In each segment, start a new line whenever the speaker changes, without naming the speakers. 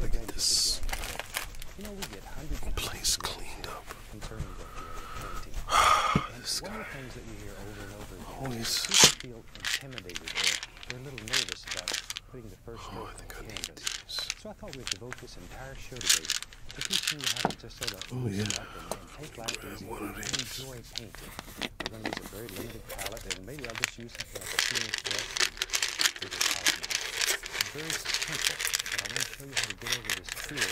Look at this place cleaned up. this guy. Always. feel intimidated they're a little nervous about putting the first oh, I think I need these. So I thought we'd devote this entire show today to teaching you how to just sort of oh, yeah. and take life I'm going to use a very limited palette, and maybe I'll just use a Phoenix brush palette knife. It's very simple, but I want to show you how to get over this fear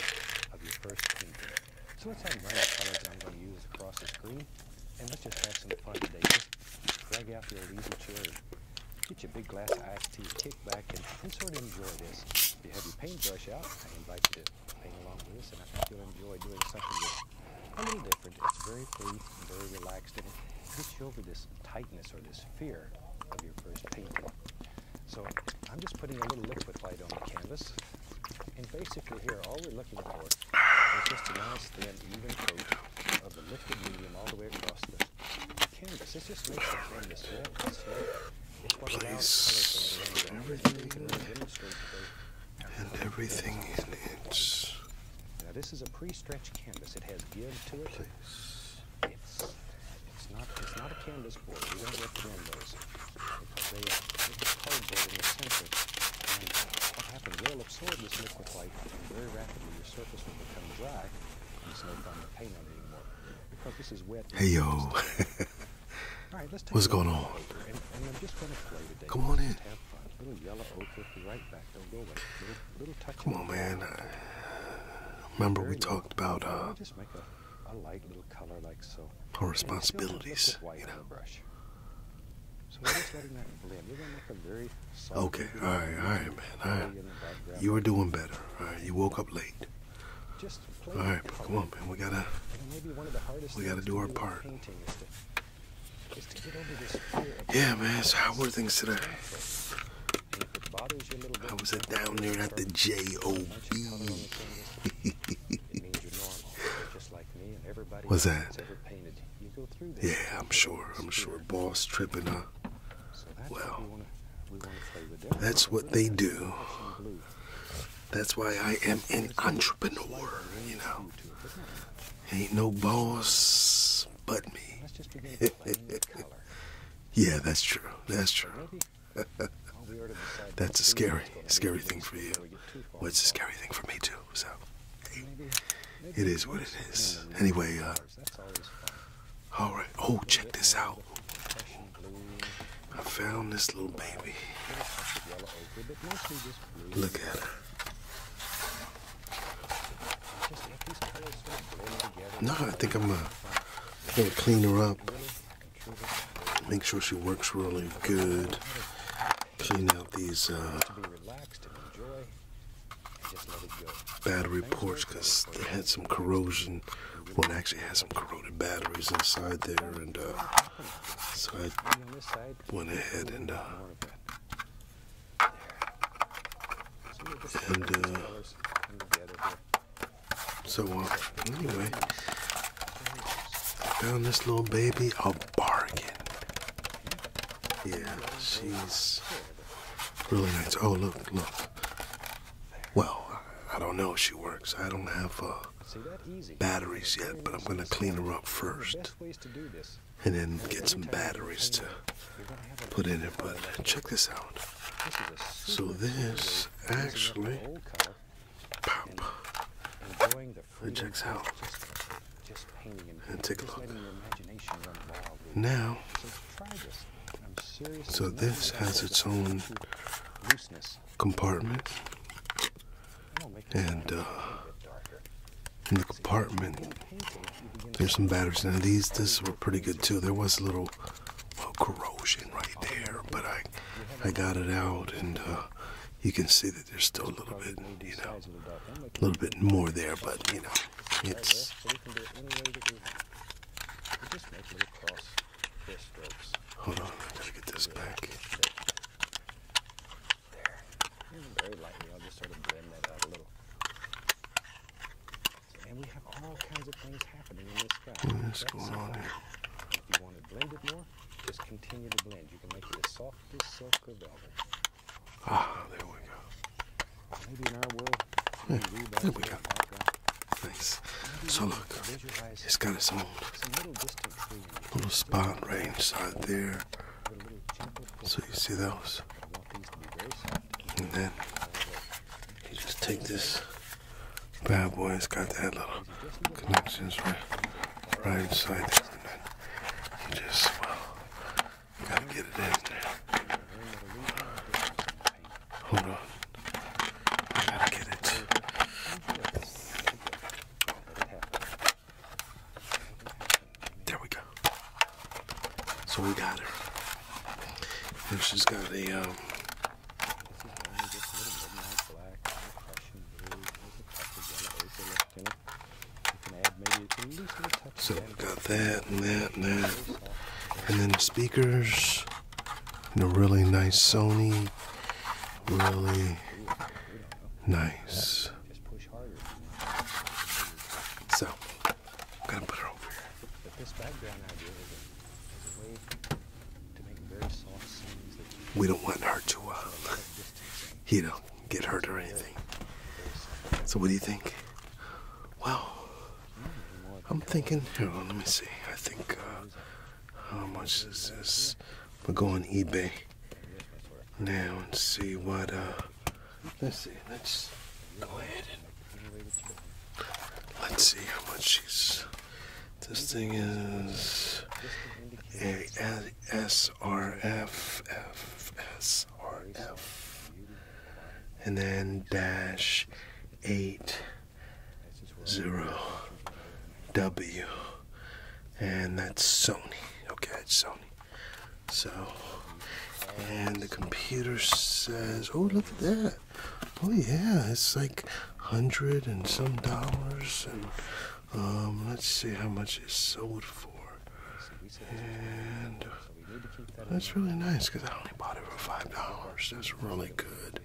of your first painting. So let's have random colors I'm going to use across the screen, and let's just have some fun today. Just drag out your easy chair, get your big glass of iced tea, kick back, and, sort of enjoy this. If you have your paintbrush out, I invite you to paint along with us, and I think you'll enjoy doing something that's a little different. It's very free, very relaxed, and it gets you over this tightness or this fear of your first painting. So I'm just putting a little liquid light on the canvas, and basically here, all we're looking for is just a nice, thin, even coat of the liquid medium all the way across the canvas. This just makes the canvas red, red. It's what allows everything and everything in it. Now this is a pre-stretched canvas. It has give to it. It's not a canvas board. We don't recommend those cardboard in the center. And what happens? they absorb this liquid light, very rapidly your surface will become dry, and it's no fun to paint on anymore because this is wet. Hey yo. All What's going on? Come on in. Have Little yellow oak right back. Don't go away. Little, little touch. Come on, man. remember we talked about a, light little color like so. Our responsibilities, you are okay. All right, all right, man. All right. You were doing better. All right, you woke up
late. all right, but come on, man. We gotta.
We gotta do our part.
Yeah, man. So how were things today? I was at down there at the J.O.B.
Was that? Yeah,
I'm sure. I'm sure. Boss tripping up.
Well, that's what they do.
That's why I am an entrepreneur, you know. Ain't no boss but me. yeah, that's true. That's true. that's a scary, scary thing for you. Well, it's a scary thing for me too. So, it is what it is. Anyway, uh, all right. Oh, check this out. I found this little baby. Look at her. No, I think I'm, gonna clean her up. Make sure she works really good. Clean out these uh, battery ports because they had some corrosion. One actually had some corroded batteries inside there, and uh, so I went ahead and uh,
and uh,
so uh, anyway, found this little baby a bargain. Yeah, she's really nice. Oh, look, look. Well, I don't know if she works. I don't have uh, batteries yet, but I'm going to clean her up first to do this. And then get some batteries to put in it. But check this out. So this
actually, pop, it checks out. And take a look. Now, so this has its own
compartment and uh, in the compartment, there's some batteries. Now these, this were pretty good too. There was a little corrosion right there, but I, I got it out, and uh, you can see that there's still a little bit, you know, a little bit more there, but you know,
it's. Hold on, I gotta get this back there. Very lightly, I'll just sort of blend that out a little. And we have all kinds of things happening in this sky. What's going on here? If you want to blend it more, just continue to blend. You can make it as soft as silk or velvet. Ah, there we go. Maybe in our world, yeah, there we go. Thanks. So look, it's got its own little spot right inside there. So you see those.
And then you just take this bad boy. It's got that little connections right, right inside there.
you just, well, gotta get it in there. Hold
on. gotta get it. There we go. So we got her. And she's got a um, So we've got that and that and that. And then the speakers. And a really nice Sony. Really
Nice. So, i
to put it
over here. But this a very soft scenes we don't want her to, uh,
you know, get hurt or anything. So, what do you think? Well, mm, I'm thinking, let me see. I think, uh, how much is this? We'll go on eBay now and see what, uh,
let's see, let's go ahead
let's see how much she's, this thing is a s r f f s r f and then dash eight zero W and that's Sony. Okay, it's Sony. So, and the computer says, oh, look at that. Oh, yeah, it's like hundred and some dollars. And um, let's see how much it sold for. And
that's really nice because
I only bought it for five dollars. That's really good.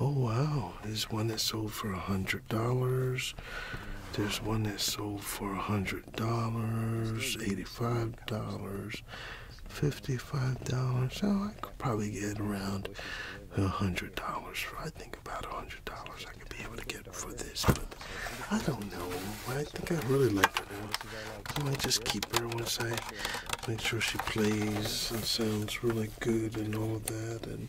Oh, wow, there's one that sold for a hundred dollars. There's one that sold for hundred dollars, eighty-five dollars, fifty-five dollars. So I could probably get around hundred dollars. I think about hundred dollars I could be able to get for this, but I don't know. I think I really like her now. I might just keep her once I make sure she plays and sounds really good and all of that. And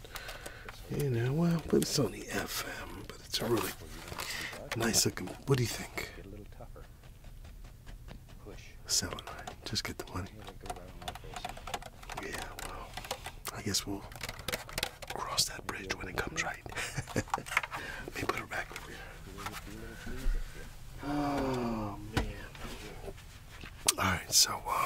and you know, well, but it's only FM, but it's a really nice looking. What do you think?
Seven nine. Just get the money. Yeah,
well, I guess we'll cross that bridge when it comes right. Let me put it back over here. Oh man. All right, so uh,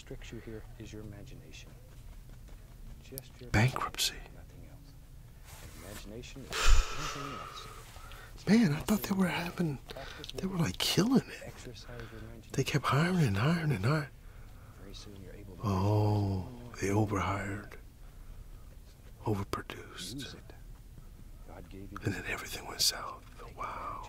restricts you here is your imagination. Just your bankruptcy.
Man, I thought they were having, they were like killing it. They kept hiring and hiring and hiring.
Oh,
they overhired, overproduced, and then everything went south.
Wow.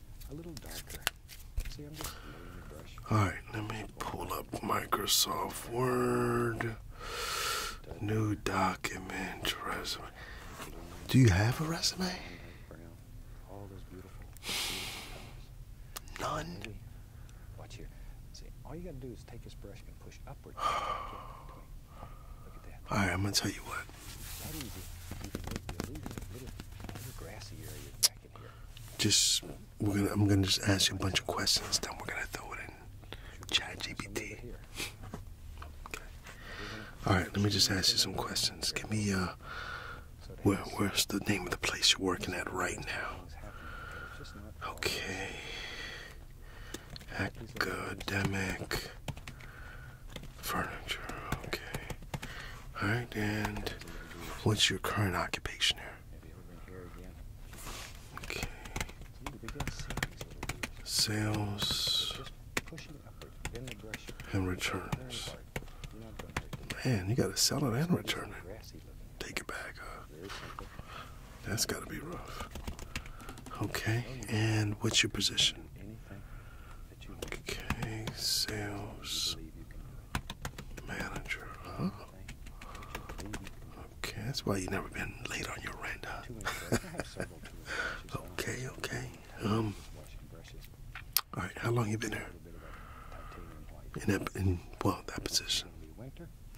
a little darker.
All right, let me pull up Microsoft Word, new document, resume. Do you have a resume?
None. Watch here. See, all you gotta do is take this brush and push upward.
All right, I'm gonna tell you what grassy area Just I'm gonna just ask you a bunch of questions, then we're gonna throw it in Chat GPT. Alright, let me just ask you some questions. Give me uh where's the name of the place you're working at right now? Okay. Academic Furniture, okay. Alright, and what's your current occupation
here? Okay.
Sales
and returns.
Man, you gotta sell it and return
it. Take it back, That's gotta be rough.
Okay, and what's your position? anything that you want. Okay, sales manager. Okay, that's why you have never been late on your rent, huh? okay, okay. Um. All right, how long you been there? In that, in well, that position.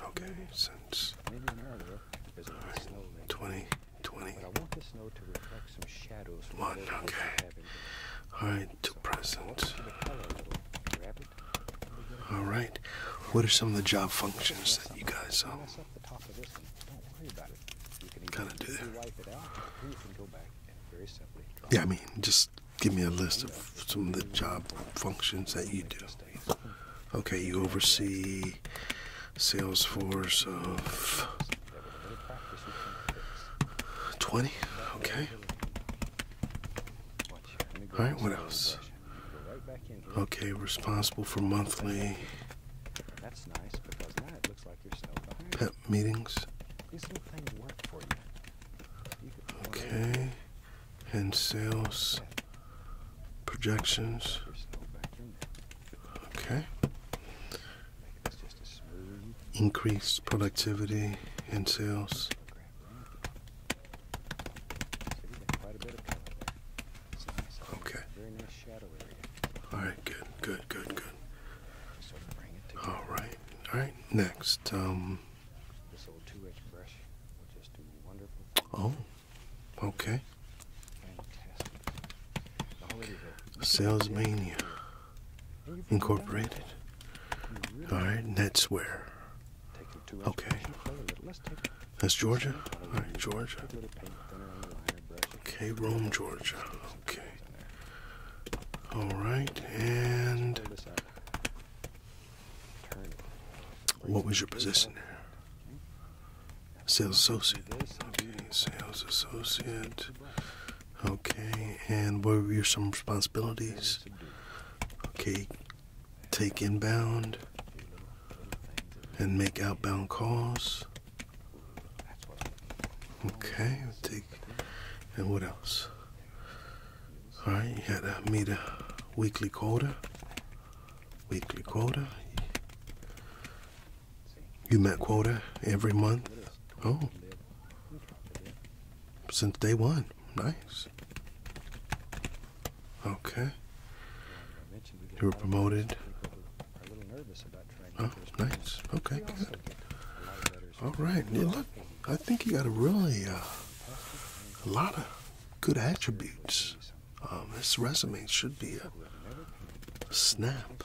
Okay, since all right, twenty. 20. I want the snow to reflect some shadows One, okay. Alright, to present. Alright,
what are some of the job functions that you
guys um, kind of do
Yeah, I mean, just give me a list of some of the job functions that you do. Okay, you oversee sales force of
20. Okay. All right, what else? Okay, responsible
for monthly
That's nice because now it looks like you pep meetings. Okay,
and sales projections. Okay increased productivity and sales.
Okay. All right, good, good,
good, good. All right, all right. Next, um. Oh, okay. Sales Mania Incorporated. All right, that's where. Okay. That's Georgia? All right, Georgia. Okay, Rome, Georgia. Okay. All right, and what was your position there? Sales associate. Okay, sales associate. Okay, and what are your some responsibilities? Okay, take inbound and make outbound calls. Okay, take and what else? All right, you had to meet a weekly quota. Weekly quota. You met quota every month? Oh. Since day one. Nice. Okay.
You were promoted. Oh, nice. Okay, good. All right. look,
I think you got a really uh, a lot of good attributes. Um, this resume should be a snap.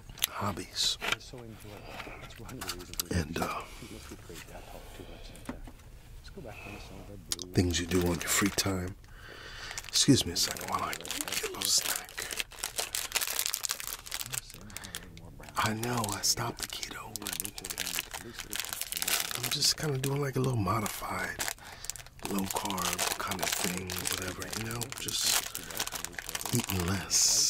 hobbies.
And uh, things
you do on your free time. Excuse me a second while I get a little snack. I know I stopped the keto, I'm just kind of doing like a little modified, low carb kind of thing, whatever, you know, just eating less.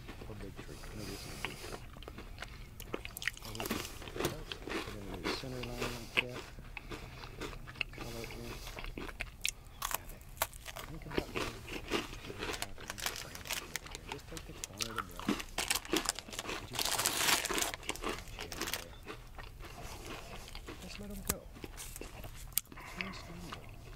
Or big tree. No, this is a big tree. I'll look put in the center line like that. Color in. Think about doing just take the corner of the brush. Just let them go. Just let them go.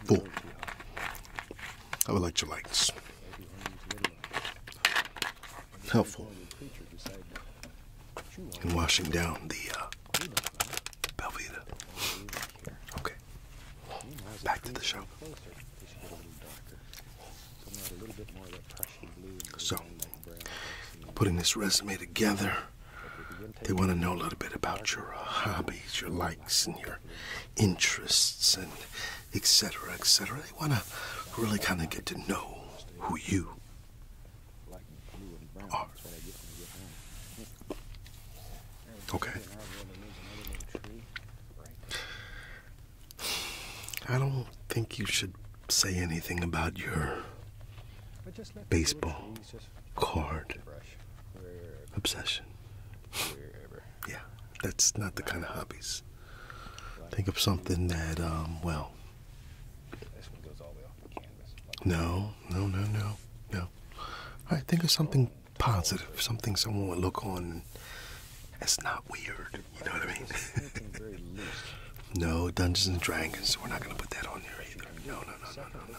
I Boom.
Of lights. Helpful in washing down the uh,
Okay. Back to the show. So,
putting this resume together. They want to know a little bit about your uh, hobbies, your likes, and your interests, and etc. etc. They want to really kind of get to know who you
are. Okay.
I don't think you should say anything about your baseball card obsession. yeah, that's not the kind of hobbies. Think of something that, um, well. No, no, no, no, no. All right, think of something positive, something someone would look on. It's not weird, you know what
I mean?
no, Dungeons and Dragons. We're not gonna put that on there either.
No, no, no, no, no, no, no.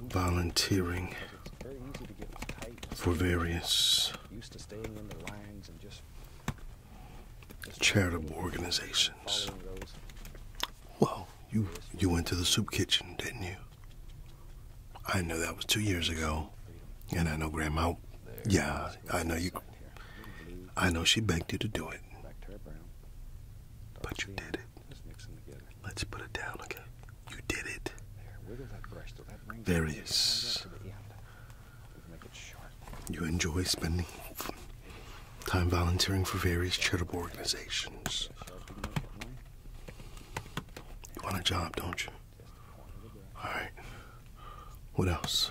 volunteering for various
charitable organizations. Well, you you went to the soup kitchen, didn't you? I know that was two years ago, and I know Grandma. Yeah, I know you. I know she begged you to do it,
but you did it it. Just mix them together. Let's put it down, okay? You did it. There, wiggle it is.
You enjoy spending time volunteering for various charitable organizations. You want a job, don't you? All right. What else?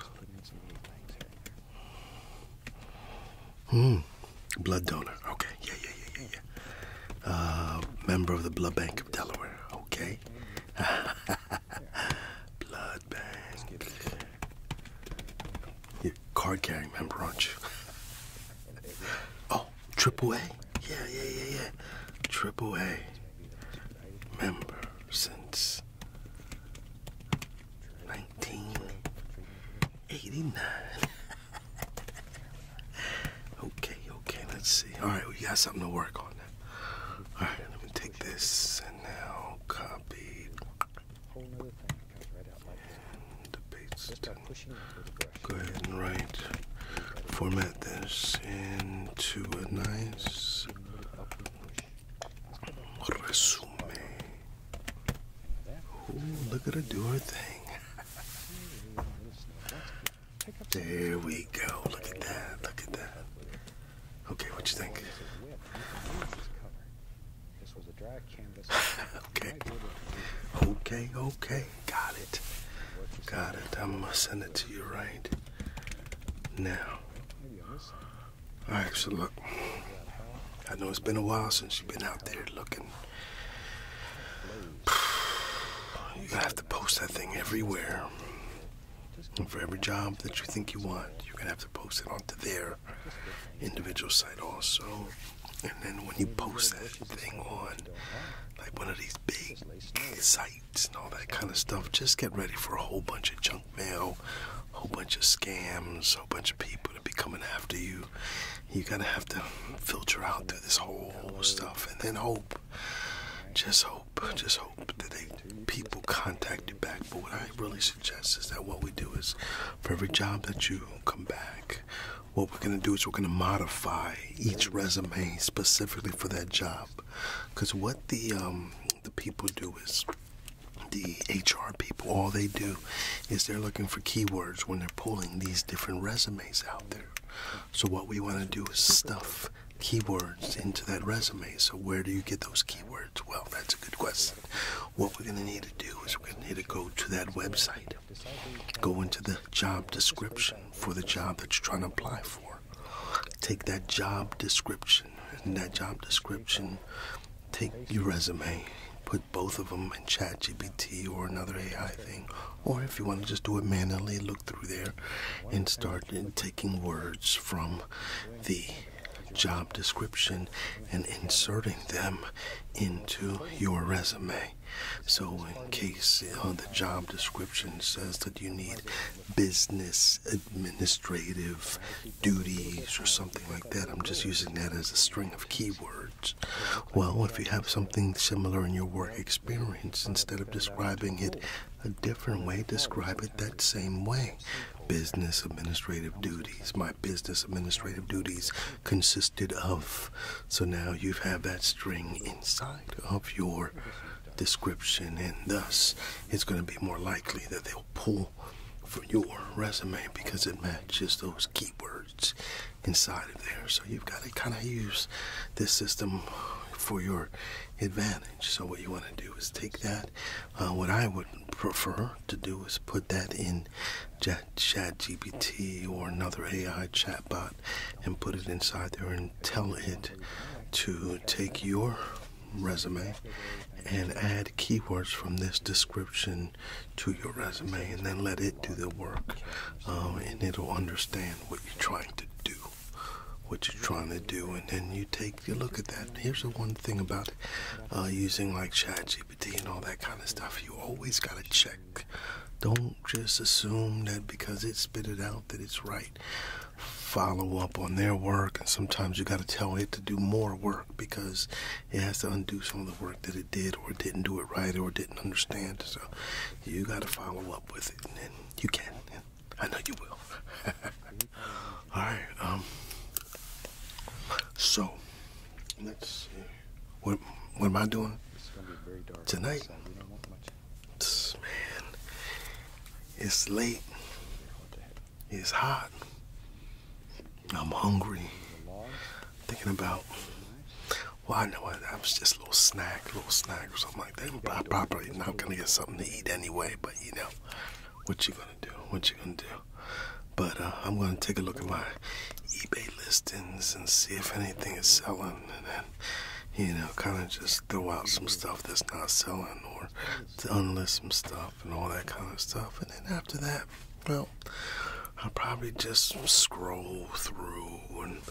Hmm. Blood donor. Okay. Yeah, yeah, yeah, yeah, yeah. Uh, member of the Blood Bank of Delaware. Okay. blood Bank. you card carrying member, on you? oh, triple A. Yeah, yeah, yeah, yeah. Triple A member since 1989. Okay, okay, let's see. Alright, we got something to work on now. Alright, let me take
this and now copy. Whole other thing comes right out like this.
Go ahead and write. Format this into a nice resume. Ooh, look at her do her thing. There we go. Look at that. Look at that.
Okay, what you think? okay.
Okay, okay. Got it. Got it. I'm going to send it to you right now. All right, so look. I know it's been a while since you've been out there looking You're gonna have to post that thing everywhere. And for every job that you think you want, you're gonna have to post it onto their individual site also. And then when you post that thing on like one of these big sites and all that kind of stuff, just get ready for a whole bunch of junk mail, a whole bunch of scams, a whole bunch of people to be coming after you you gotta have to filter out through this whole stuff and then hope. Just hope, just hope that they people contact you back. But what I really suggest is that what we do is for every job that you come back, what we're gonna do is we're gonna modify each resume specifically for that job. Because what the um, the people do is the HR people, all they do is they're looking for keywords when they're pulling these different resumes out there. So, what we want to do is stuff keywords into that resume. So, where do you get those keywords? Well, that's a good question. What we're going to need to do is we're going to need to go to that website, go into the job description for the job that you're trying to apply for, take that job description, and that job description, take your resume. Put both of them and chat GPT or another AI thing. Or if you want to just do it manually, look through there and start taking words from the job description and inserting them into your resume. So, in case uh, the job description says that you need business administrative duties or something like that, I'm just using that as a string of keywords. Well, if you have something similar in your work experience, instead of describing it a different way, describe it that same way. Business administrative duties. My business administrative duties consisted of. So now you have that string inside of your description, and thus it's going to be more likely that they'll pull for your resume because it matches those keywords inside of there. So you've got to kind of use this system for your advantage. So what you want to do is take that. Uh, what I would prefer to do is put that in ChatGPT or another AI chatbot and put it inside there and tell it to take your resume and add keywords from this description to your resume and then let it do the work. Um, and it'll understand what you're trying to do, what you're trying to do. And then you take a look at that. Here's the one thing about uh, using like ChatGPT and all that kind of stuff. You always got to check. Don't just assume that because it spit it out that it's right. Follow up on their work, and sometimes you got to tell it to do more work because it has to undo some of the work that it did or didn't do it right or didn't understand. So you got to follow up with it, and you can. And I know you will. All right. Um, so let's see. What what am I doing
it's gonna be very dark tonight?
man, it's late. It's hot. I'm hungry. Thinking about well, I know it, that was just a little snack, a little snack or something like that. But I probably not gonna get something to eat anyway. But you know, what you gonna do? What you gonna do? But uh, I'm gonna take a look at my eBay listings and see if anything is selling, and then you know, kind of just throw out some stuff that's not selling or to unlist some stuff and all that kind of stuff. And then after that, well, I'll probably just scroll through and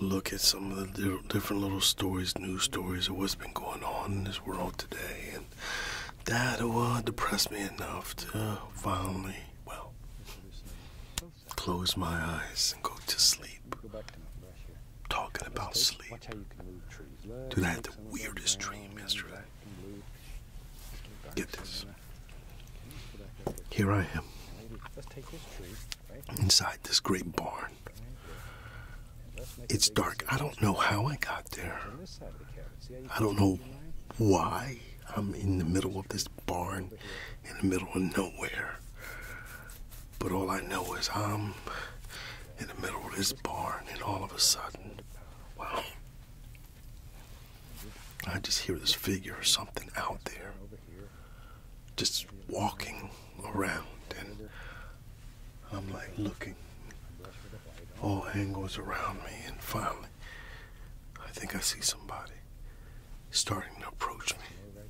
look at some of the different little stories, news stories of what's been going on in this world today. And that will uh, depress me enough to finally, well, close my eyes and go to sleep.
Talking about sleep. Dude, I had the weirdest dream yesterday. Get this. Here I am.
Inside this great barn. It's dark. I don't know how I got
there. I don't
know why I'm in the middle of this barn in the middle of nowhere. But all I know is I'm in the middle of this barn and all of a sudden, wow, I just hear this figure or something out there just walking around and I'm like looking all angles around me and finally I think I see somebody starting to approach me.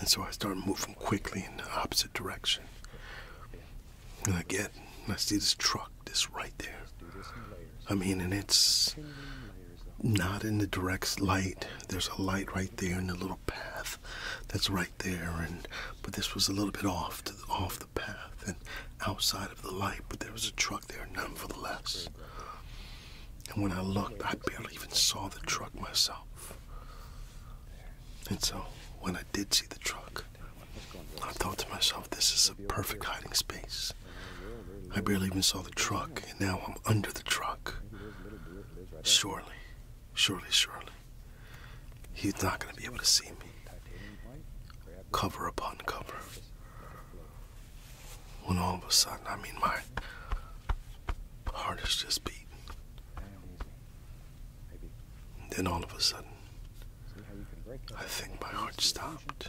And so I start moving quickly in the opposite direction. And I get, I see this truck this right there. I mean, and it's not in the direct light. There's a light right there in the little path that's right there, and but this was a little bit off to the, off the path and outside of the light. But there was a truck there, nonetheless. And when I looked, I barely even saw the truck myself. And so, when I did see the truck, I thought to myself, this is a perfect hiding space. I barely even saw the truck, and now I'm under the truck. Surely, surely, surely, he's not going to be able to see me. Cover upon cover. When all of a sudden, I mean, my heart is just beating. then all of a sudden, I
think my heart stopped.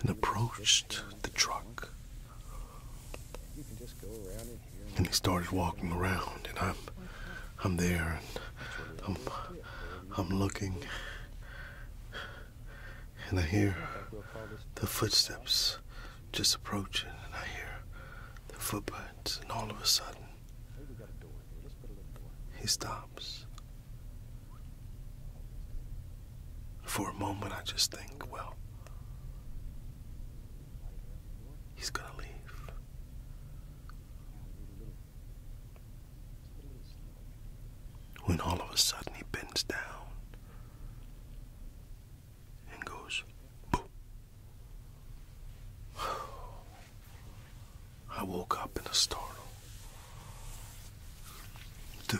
and approached
the truck.
And he started walking around, and I'm, I'm there, and I'm, I'm looking, and I hear the footsteps just approaching, and I hear the footprints, and all of a sudden, he stops. For a moment, I just think, well,
he's gonna leave.
When all of a sudden he bends down and goes, boop. I woke up in a startle. Dude,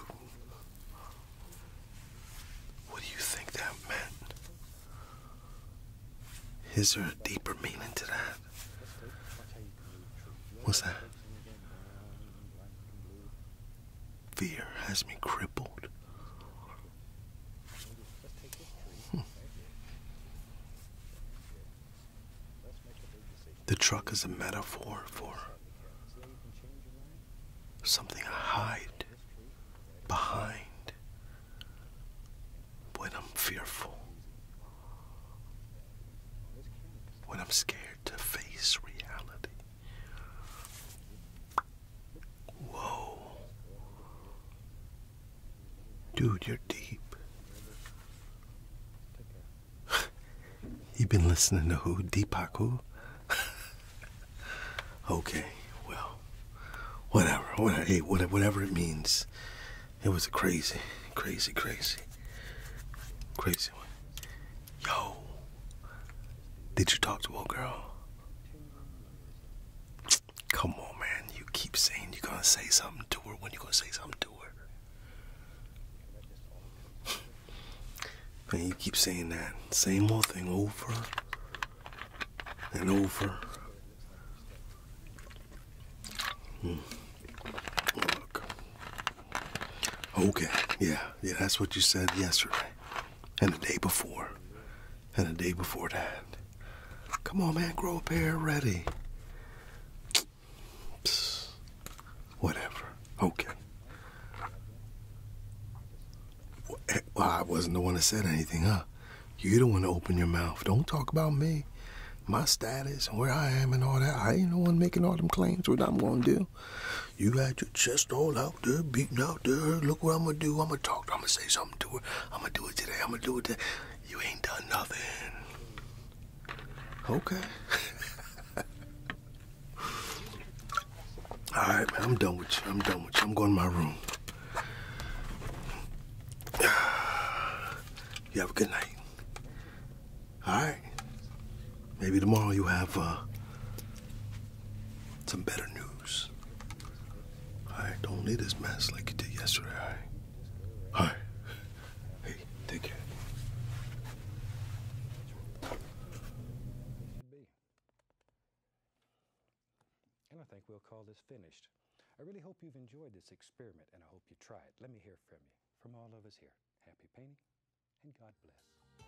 what do you think that meant? Is there a deeper meaning to that? What's that? Fear has me crippled.
Hmm. The truck is a metaphor for
something I hide behind when I'm fearful, when I'm scared to face reality. Whoa. Dude, you're deep. you been listening to who? Deepak who? okay, well, whatever, whatever, it means. It was a crazy, crazy, crazy, crazy one. Yo, did you talk to old girl? Come on, man. You keep saying you're gonna say something to her. When you gonna say something to her? Man, you keep saying that same old thing over and over. Hmm. Okay, yeah, yeah, that's what you said yesterday, and the day before, and the day before that. Come on, man, grow a pair already. Whatever. Okay. Eh, well, I wasn't the one that said anything, huh? you don't want to open your mouth. Don't talk about me, my status, and where I am, and all that. I ain't the one making all them claims. What I'm gonna do? You got your chest all out there, beating out there. Look what I'm gonna do. I'm gonna talk. I'm gonna say something to her. I'm gonna do it today. I'm gonna do it today. You ain't done nothing. Okay. All right, man. I'm done with you. I'm done with you. I'm going to my room. You have a good night. All right. Maybe tomorrow you have uh, some better news. All right. Don't leave this mess like you did yesterday. All right. All right. Hey, take care.
And I think we'll call this finished. I really hope you've enjoyed this experiment and I hope you try it. Let me hear from you. From all of us here, happy painting and God bless.